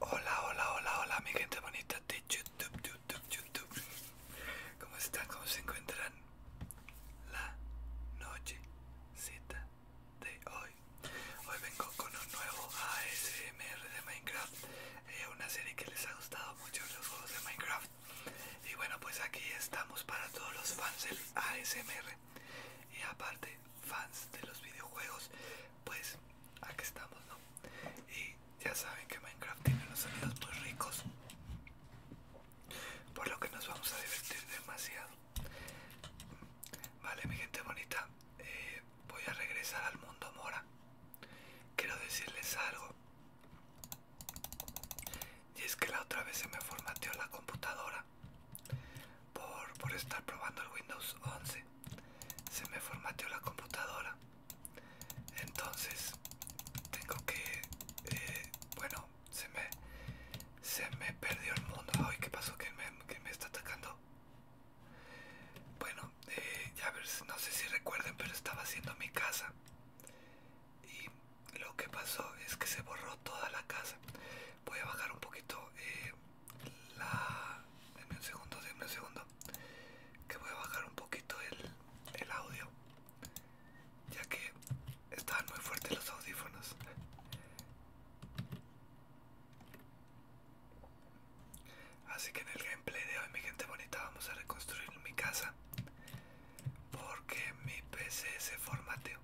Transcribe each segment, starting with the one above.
Hola, hola, hola, hola, mi gente bonita de YouTube, YouTube, YouTube. ¿Cómo están? ¿Cómo se encuentran? La noche de hoy. Hoy vengo con un nuevo ASMR de Minecraft. Es eh, una serie que les ha gustado mucho los juegos de Minecraft. Y bueno, pues aquí estamos para todos los fans del ASMR y aparte fans de los videojuegos, pues aquí estamos, ¿no? Y ya saben que Minecraft tiene unos sonidos muy ricos, por lo que nos vamos a divertir demasiado. Vale, mi gente bonita, eh, voy a regresar al mundo mora. Quiero decirles algo. Y es que la otra vez se me formateó la computadora por, estar probando el Windows 11. Se me formateó la computadora. Entonces tengo que... Eh, bueno, se me, se me perdió el mundo. Ay, ¿qué pasó? que me, está atacando? Bueno, eh, ya ver, no sé si recuerden, pero estaba haciendo mi casa y lo que pasó es que se borró toda la casa voy a bajar un poquito eh, la denme un segundo denme un segundo que voy a bajar un poquito el, el audio ya que estaban muy fuertes los audífonos así que en el gameplay de hoy mi gente bonita vamos a reconstruir mi casa porque mi pc se formateó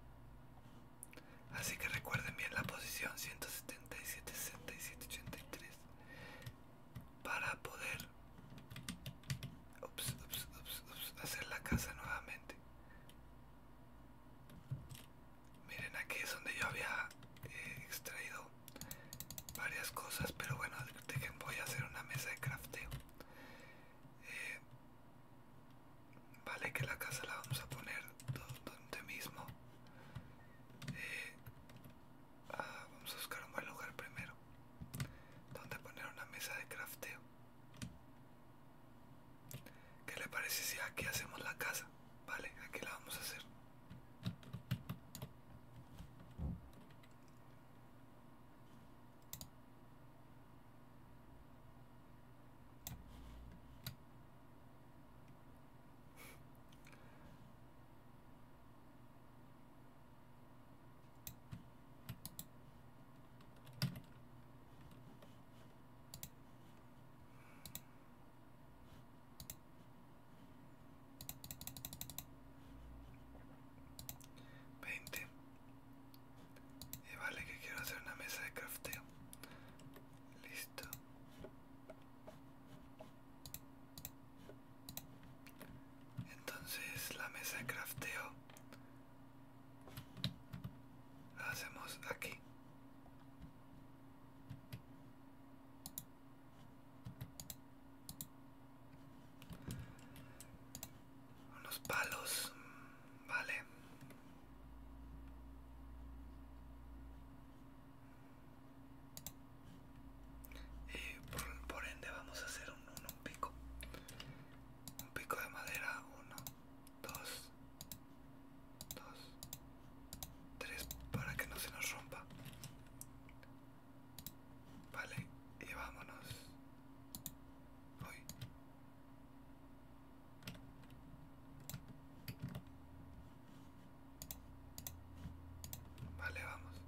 Así que recuerden bien la posición 177, 67, 83 para poder hacer la casa nuevamente. Miren, aquí es donde yo había eh, extraído varias cosas, pero bueno, dejen, voy a hacer una mesa de crafteo. Eh, Vale, que la casa la vamos a poner donde mismo. Eh, ah, vamos a buscar un buen lugar primero. Donde poner una mesa de crafteo. ¿Qué le parece si aquí hacemos la casa? Vale, aquí la vamos a hacer. 20 y eh, vale que quiero hacer una mesa de crafteo. Listo. Entonces la mesa de crafteo la hacemos aquí unos palos, vale. Y por, ende vamos a hacer un, pico. Un pico de madera, uno, dos, dos, tres, para que no se nos rompa. Vale, y vámonos. Uy. Vale, vamos.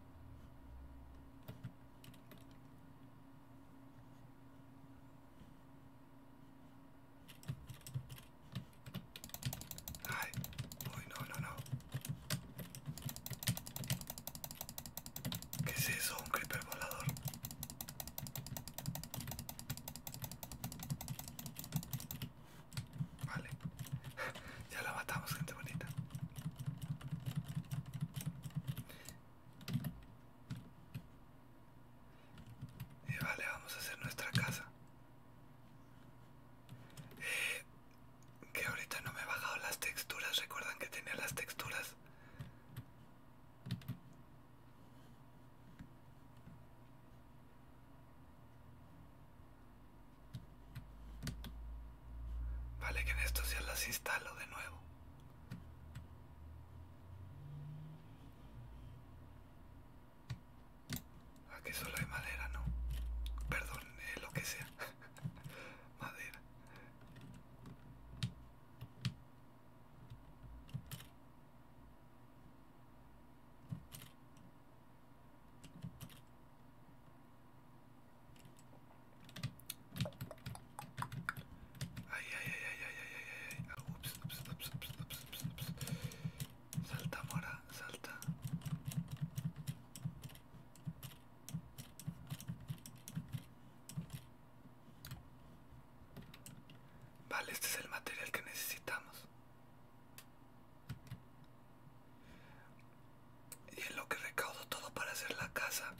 Ay, uy, no, no, no. ¿Qué es eso? Un creeper volador. Vale. ya la matamos, gente bonita. Y vale, vamos a hacer nuestra casa. Eh, que ahorita no me he bajado las texturas. Recuerdan que tenía las texturas. Vale, que en esto ya las instalo de nuevo. Aquí solo hay madera, ¿no? Perdón, eh, lo que sea. madera. Ay, ay, ay, ay, ay, ay, ay, ay. ay, ah, ups, Salta, mora, salta. Vale, este es el material que necesitamos. Y en lo que recaudo todo para hacer la casa,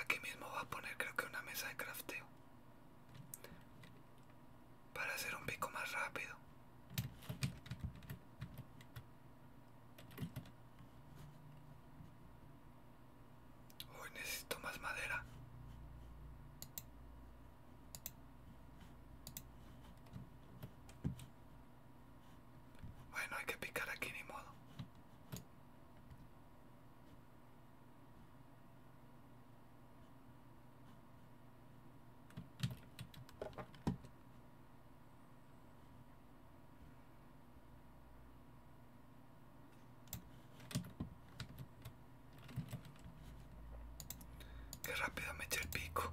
aquí mismo va a poner creo que una mesa de crafteo. Para hacer un pico más rápido. Hoy necesito más madera. Bueno, hay que picar aquí, ni modo. Qué rápido me el pico.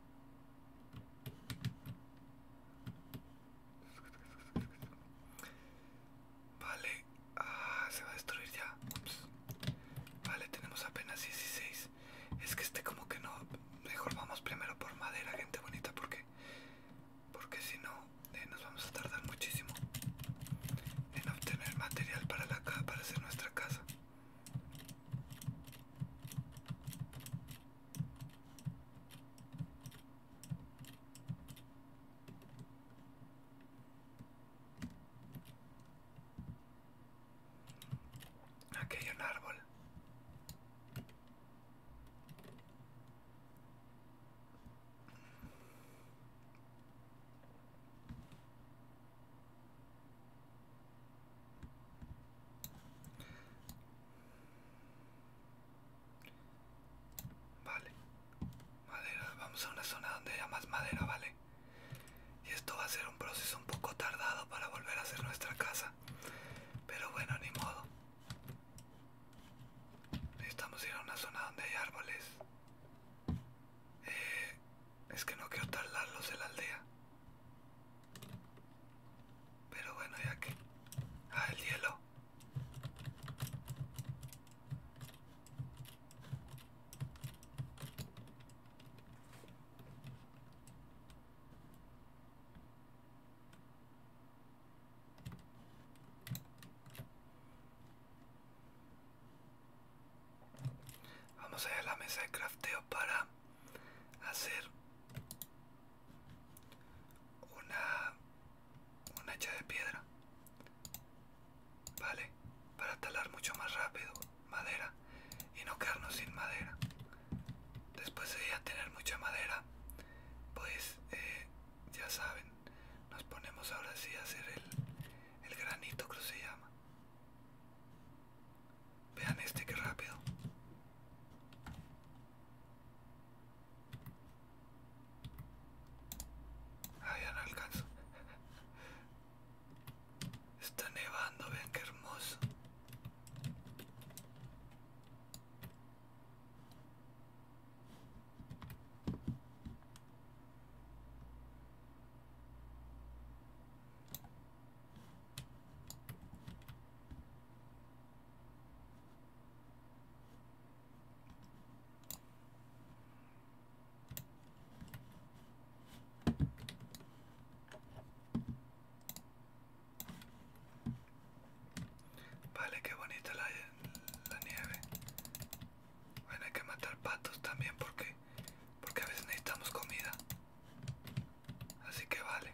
Vale, ah, se va a destruir ya. Vale, tenemos apenas 16. Es que este como que no. Mejor vamos primero por madera, gente bonita, porque porque si no eh, nos vamos a tardar muchísimo en obtener material para la para hacer nuestra casa. Aquí hay un árbol. Vale. Madera, vamos a una zona donde haya más madera, ¿vale? Y esto va a ser un proceso un poco tardado para volver a hacer nuestra casa. Pero bueno, ni modo. Necesitamos ir a una zona donde hay árboles. Eh, es que no quiero tardarlos en la aldea. Pero bueno, ya que... Ah, el hielo. Vamos a ir a la mesa de crafteo para hacer una una hacha de piedra vale para talar mucho más rápido madera y no quedarnos sin madera después de ya tener mucha madera pues eh, ya saben nos ponemos ahora sí a hacer el, granito que que se llama Vean este que rápido. Ah, ya no alcanzo. Está nevando, vean qué hermoso. Vale, qué bonita la, nieve. Bueno, hay que matar patos también porque, porque a veces necesitamos comida. Así que vale.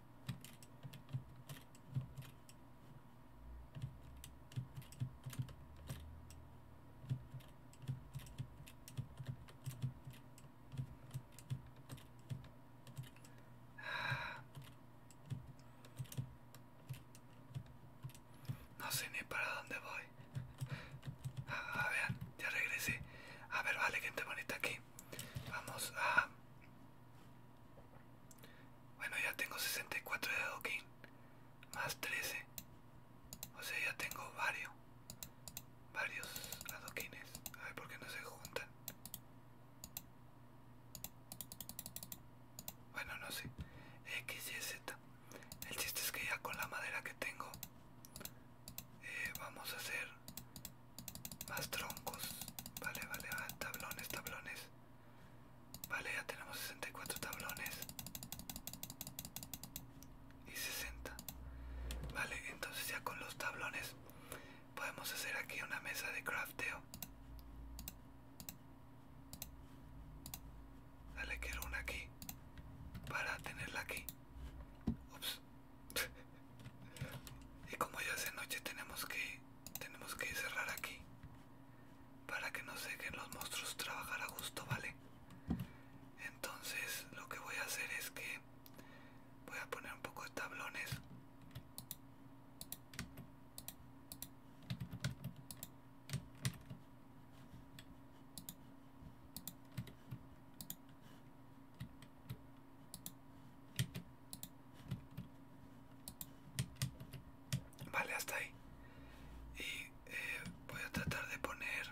No sé ni para dónde voy. A ver, ya regresé. A ver, vale, gente bonita aquí. Vamos a bueno, ya tengo 64 de adoquín. Más 13. O sea, ya tengo varios. Varios adoquines. A ver por qué no se juntan. Bueno, no sé. X, Y, Z. El chiste es que ya con la madera que tengo eh, vamos a hacer más troncos. Vale, vale, tablones, tablones. Vale, ya tenemos 64 tablones. Y 60. Vale, entonces ya con los tablones podemos hacer aquí una mesa de crafteo. Dale, quiero una aquí. Para tenerla aquí. y como ya es de noche tenemos que tenemos que cerrar aquí para que no se dejen los monstruos trabajar a gusto, ¿vale? Entonces lo que voy a hacer es que voy a poner un poco de tablones. Vale, hasta ahí. Y eh, voy a tratar de poner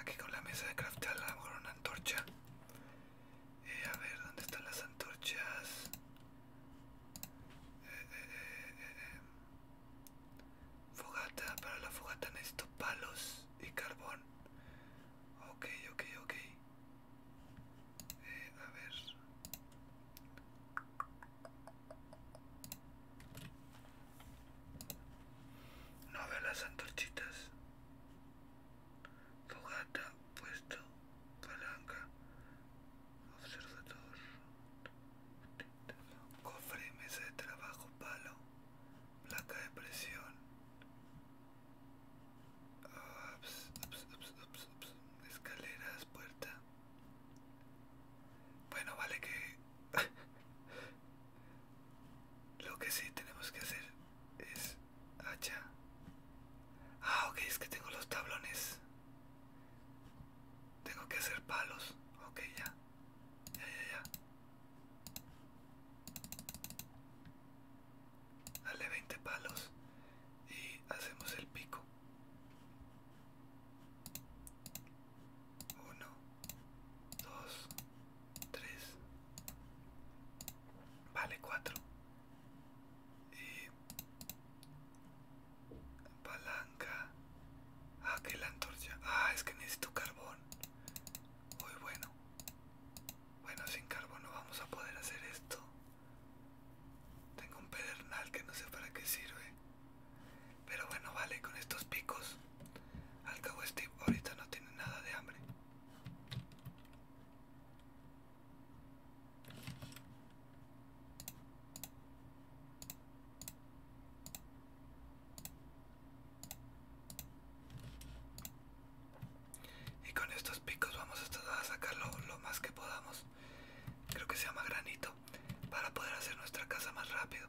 aquí con la mesa de craftar una antorcha. Eh, a ver, ¿dónde están las antorchas? Eh, fogata, para la fogata necesito palos y carbón. Ok, ok, ok a ver. No veo las antorchitas. Fogata, puesto, palanca, observador, cofre, mesa de trabajo, palo, placa de presión. Escaleras, puerta. Bueno, vale que... Lo que sí tenemos que hacer es hacha. Ah, ok, es que tengo los tablones. Tengo que hacer palos. Ok, ya. Ya, ya, ya. Dale 20 palos y hacemos el pico. 1, 2, 3, vale, 4. Y palanca... Ah, que la antorcha. Ah, es que necesito carbón. Muy bueno. Bueno, sin carbón no vamos a poder hacer esto. Tengo un pedernal que no sé para qué sirve. Pero bueno, vale, con estos picos. Al cabo Steve ahorita no tiene nada de hambre. Y con estos picos vamos a, tratar de lo más que podamos creo que se llama granito para poder hacer nuestra casa más rápido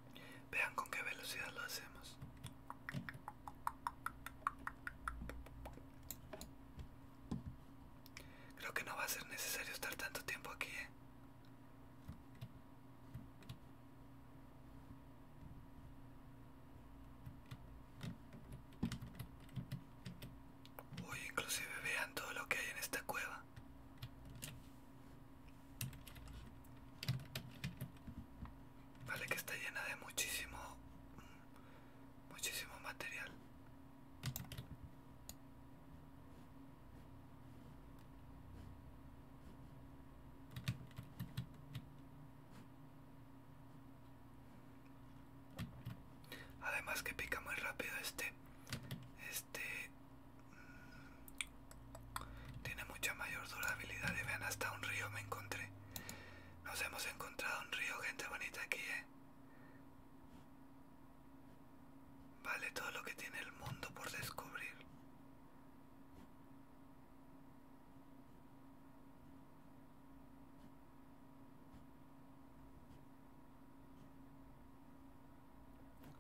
Vean con qué velocidad lo hacemos. Creo que no va a ser necesario estar tanto tiempo aquí. ¿eh? Uy, inclusive vean todo lo que hay en esta cueva. Vale, que está llena de muchísimo, muchísimo material. Además que pica muy rápido este, este, tiene mucha mayor durabilidad y vean hasta un río me encontré. Nos hemos encontrado un río, gente bonita aquí, ¿eh? Vale todo lo que tiene el mundo por descubrir.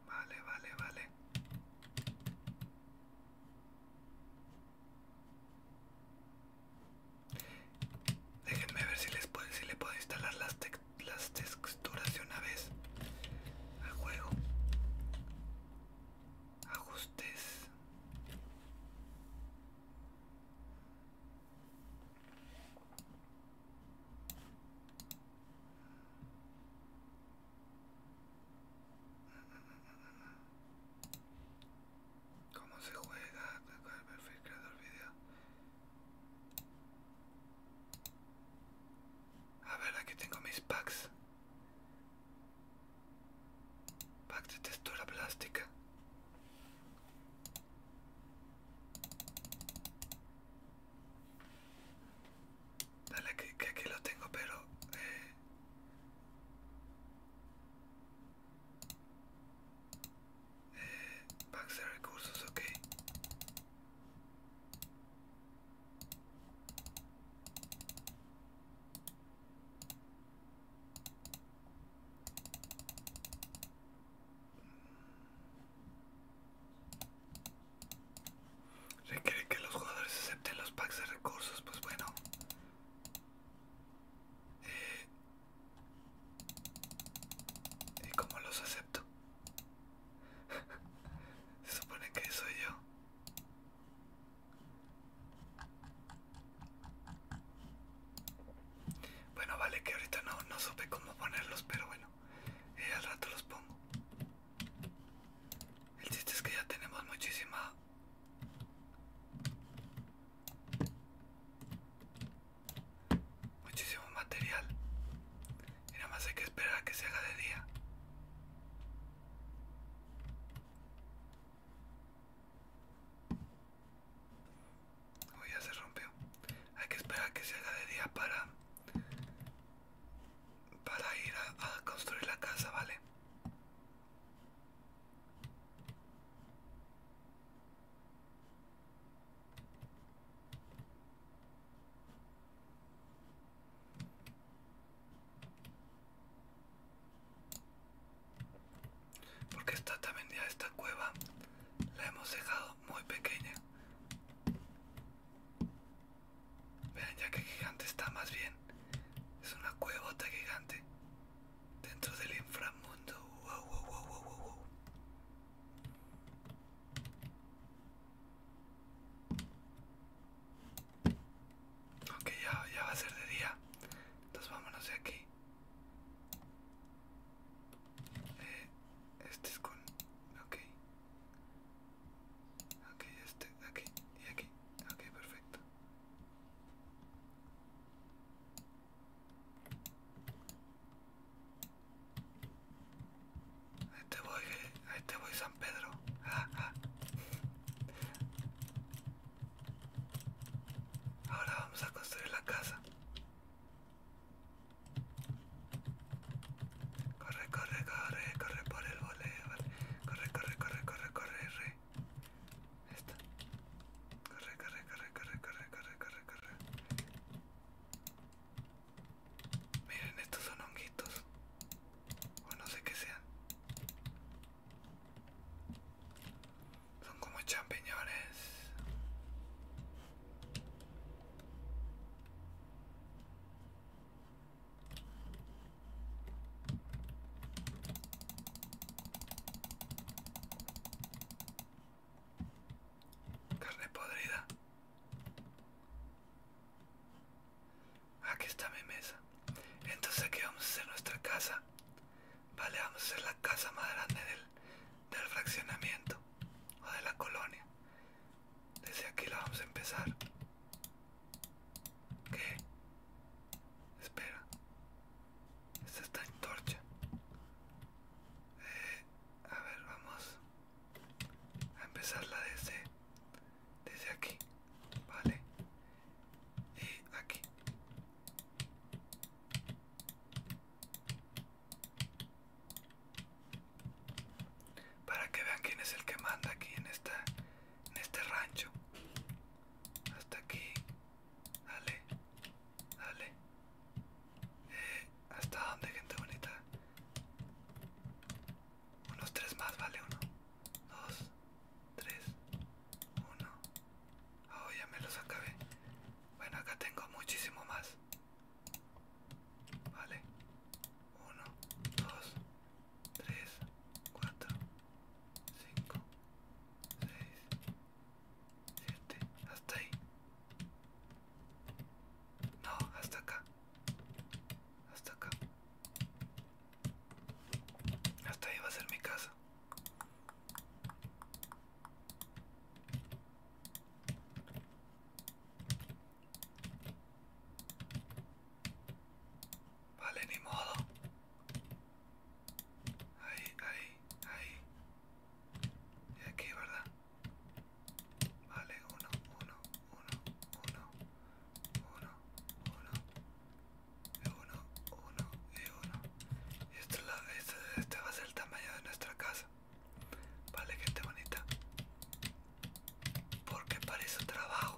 Vale, vale, vale. Déjenme ver si les puedo, si le puedo instalar las, las texturas de una vez al juego. Ajustes. ¿Cómo se juega? Con el perfil creador video. A ver, aquí tengo mis packs. Pack de textura plástica. Dale que, que aquí lo tengo, pero eh, eh, packs de recursos, ok. Requiere que los jugadores acepten los packs de recursos, pues bueno, ¿Y cómo los acepto? Se supone que soy yo. Bueno, vale, que ahorita no, no supe cómo ponerlos, pero bueno, eh, al rato los pongo. El chiste es que ya tenemos muchísima... Muchísimo material. Y nada más hay que esperar a que se haga de día. Uy, oh, ya se rompió. Hay que esperar a que se haga de día para... Para ir a construir la casa, ¿vale? Porque está también ya esta cueva la hemos dejado muy pequeña. Vean ya que gigante está más bien es una cuevota gigante. Dentro del inframundo. Wow, Ok, ya, va a ser de día. Entonces vámonos de aquí. Eh, este es con... Ok. Ok, este, aquí y aquí. Ok, perfecto. Ahí te voy, eh. ahí te voy San Pedro. Ah, ah. Ahora vamos a construir la casa. Corre, corre, corre, corre por el voleo. Corre, corre, corre, corre, corre, corre. Esta. Corre, corre, corre, corre, corre, corre, corre, corre. Miren, estos son honguitos. O no sé qué sean. Son como champiñones. Carne podrida. Aquí está mi mesa. Entonces aquí vamos a hacer nuestra casa. Vale, vamos a hacer la casa más grande del, del fraccionamiento o de la colonia. Desde aquí la vamos a empezar que? Espera. Esta está en torcha. Eh, a ver, vamos a empezarla desde, desde aquí. Vale. Y aquí. Para que vean quién es el que manda aquí en esta en este rancho. Hasta aquí Dale, dale. Eh, ¿Hasta dónde, gente bonita? Unos tres más, vale, uno, dos, tres, uno. Oh, ya me los acabé. Bueno, acá tengo muchísimo más. Vale. Uno, dos, tres, cuatro. 5, 6, 7, hasta ahí. No, hasta acá. Hasta acá. Hasta ahí va a ser mi casa. Vale, ni modo. Ahí, ahí, ahí. Y aquí, ¿verdad? Vale, uno, uno, uno, uno, uno, uno, y uno, uno y uno. Y este, este, este va a ser el tamaño de nuestra casa. Vale, gente bonita. Porque para eso trabajo.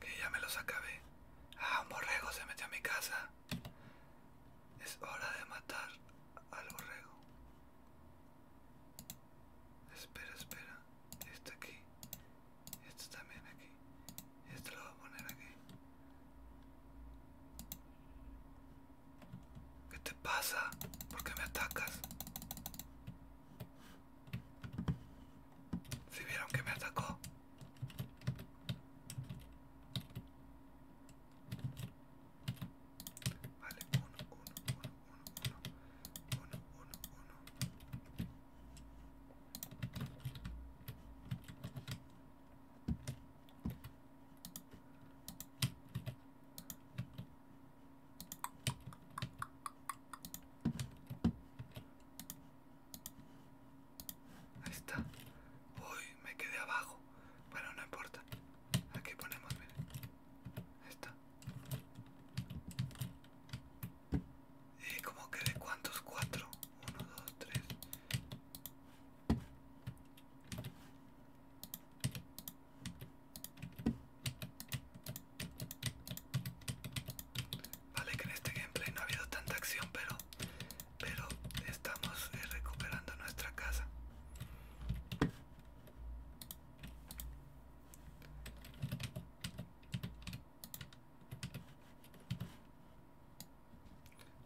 Que ya me los acabé. Ah, un borrego se metió a mi casa. Es hora de matar al borrego. Espera, espera. Este aquí. Este también aquí. Este lo voy a poner aquí. ¿Qué te pasa? ¿Por qué me atacas? Si vieron que me atacó. Vale, uno, uno, uno, uno, uno, uno, uno. Ahí está. Uy, me quedé abajo. Bueno, no importa. Aquí ponemos, miren. Ahí está. ¿Y como que de cuántos? Cuatro. Uno, dos, tres. Vale que en este gameplay no ha habido tanta acción, pero, pero estamos eh, recuperando nuestra casa.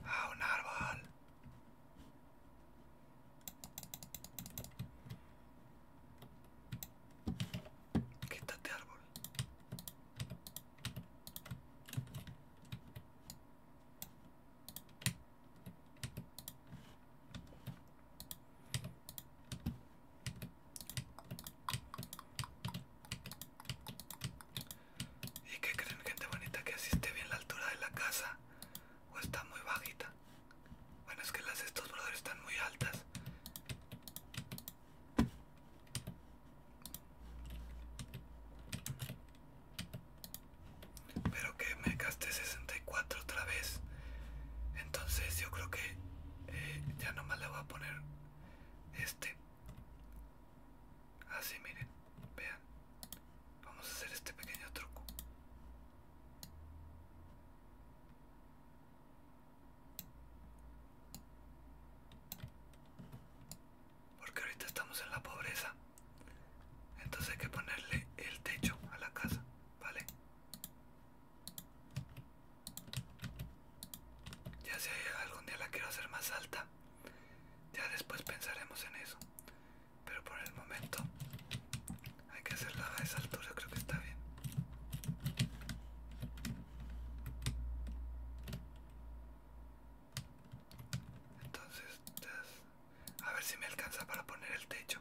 a ah, un árbol. Quítate árbol. ¿Y qué creen, gente bonita? ¿Que así bien la altura de la casa? ¿O está muy bajita? Bueno, es que las estos brothers están muy altas. Pero que me gasté 64 otra vez. Entonces yo creo que ya eh, ya nomás le voy a poner este. Así miren, vean. Vamos a hacer este pequeño truco. Porque ahorita estamos en la pobreza. Entonces hay que ponerle el techo a la casa, ¿vale? Ya si algún día la quiero hacer más alta, ya después pensaremos en eso. Pero por el momento hay que hacerla a esa altura, creo que está bien. Entonces, a ver si me alcanza para poner el techo.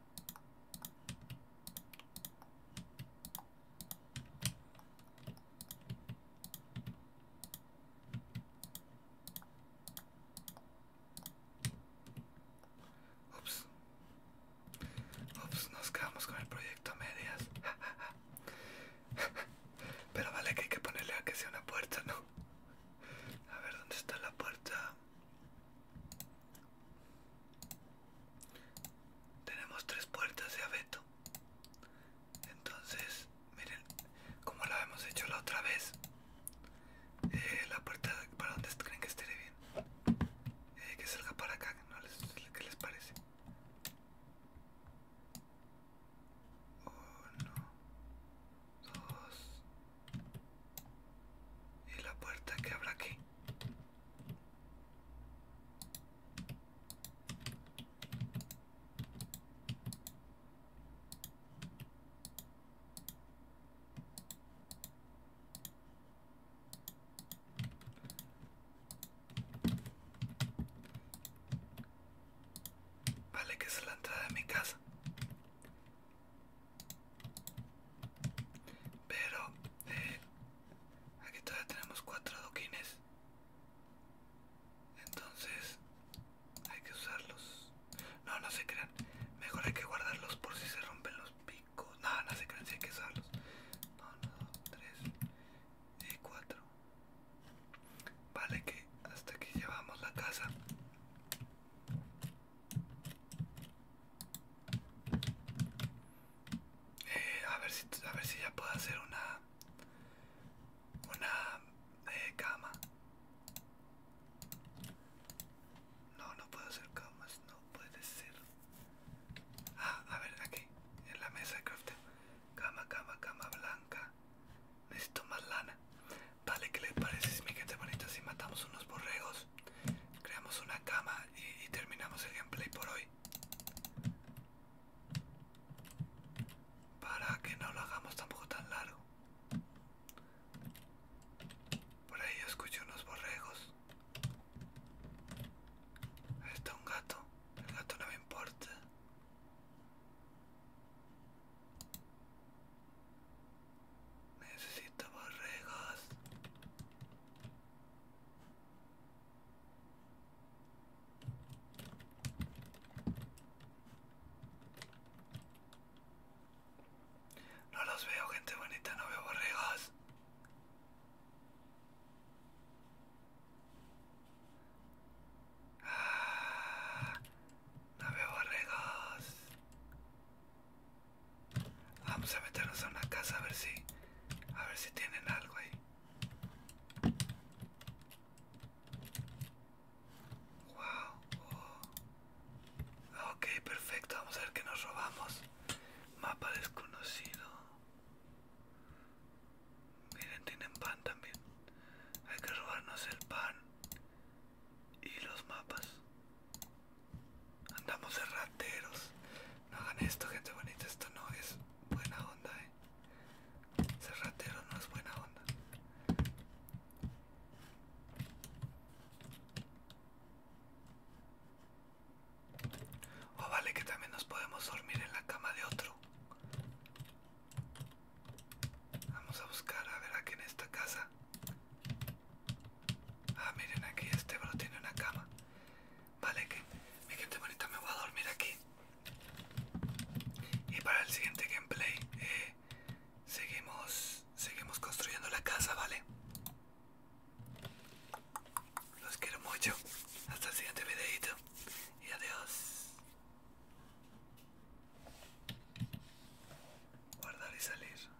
Ups. nos quedamos con el proyecto a medias. Pero vale que hay que ponerle a que sea una puerta, ¿no? A ver, ¿dónde está la puerta? Tenemos tres puertas de abeto. Entonces, miren, como la hemos hecho la otra vez, eh, la puerta para donde creen que esté bien. Eh, que salga para acá, ¿no? ¿qué les parece? Uno, dos. Y la puerta que habrá aquí. Vale, que es la entrada de mi casa. Pero eh, aquí todavía tenemos cuatro doquines Entonces hay que usarlos. No, no se crean. Mejor hay que guardarlos por si se rompen los picos. No, no se crean, si hay que usarlos. Uno, dos, tres y eh, cuatro Vale, que hasta aquí llevamos la casa. Eh, a ver si ver si ya puedo hacer una una eh, cama no no puedo hacer camas no puede ser ah a ver aquí en la mesa de crafting cama cama cama blanca necesito más lana vale que le parece mi gente bonita si matamos unos borregos creamos una cama y, terminamos el gameplay por hoy para que no lo hagamos tampoco tan largo por ahí escucho unos borregos está un gato el gato no me importa Necesito borregos. No los veo, gente bonita, no veo borregos. Ah, no veo borregos. Vamos ah, pues a meternos a una casa a ver si. A ver si tienen algo ahí. Wow. Oh. Ok, perfecto. Vamos a ver que nos robamos. Mapa desconocido. Miren, tienen pan también. Hay que robarnos el pan y los mapas. Andamos cerrateros No hagan esto, gente bonita. Esto no es buena onda, eh. no es buena onda. O oh, vale que también nos podemos dormir en la cama de otro. Vamos a buscar a ver aquí en esta casa. Ah, miren aquí este bro tiene una cama. Vale, que mi gente bonita me voy a dormir aquí. Y para el siguiente gameplay eh, seguimos, seguimos construyendo la casa, ¿vale? Los quiero mucho. Hasta el siguiente videito. Y adiós. Guardar y salir.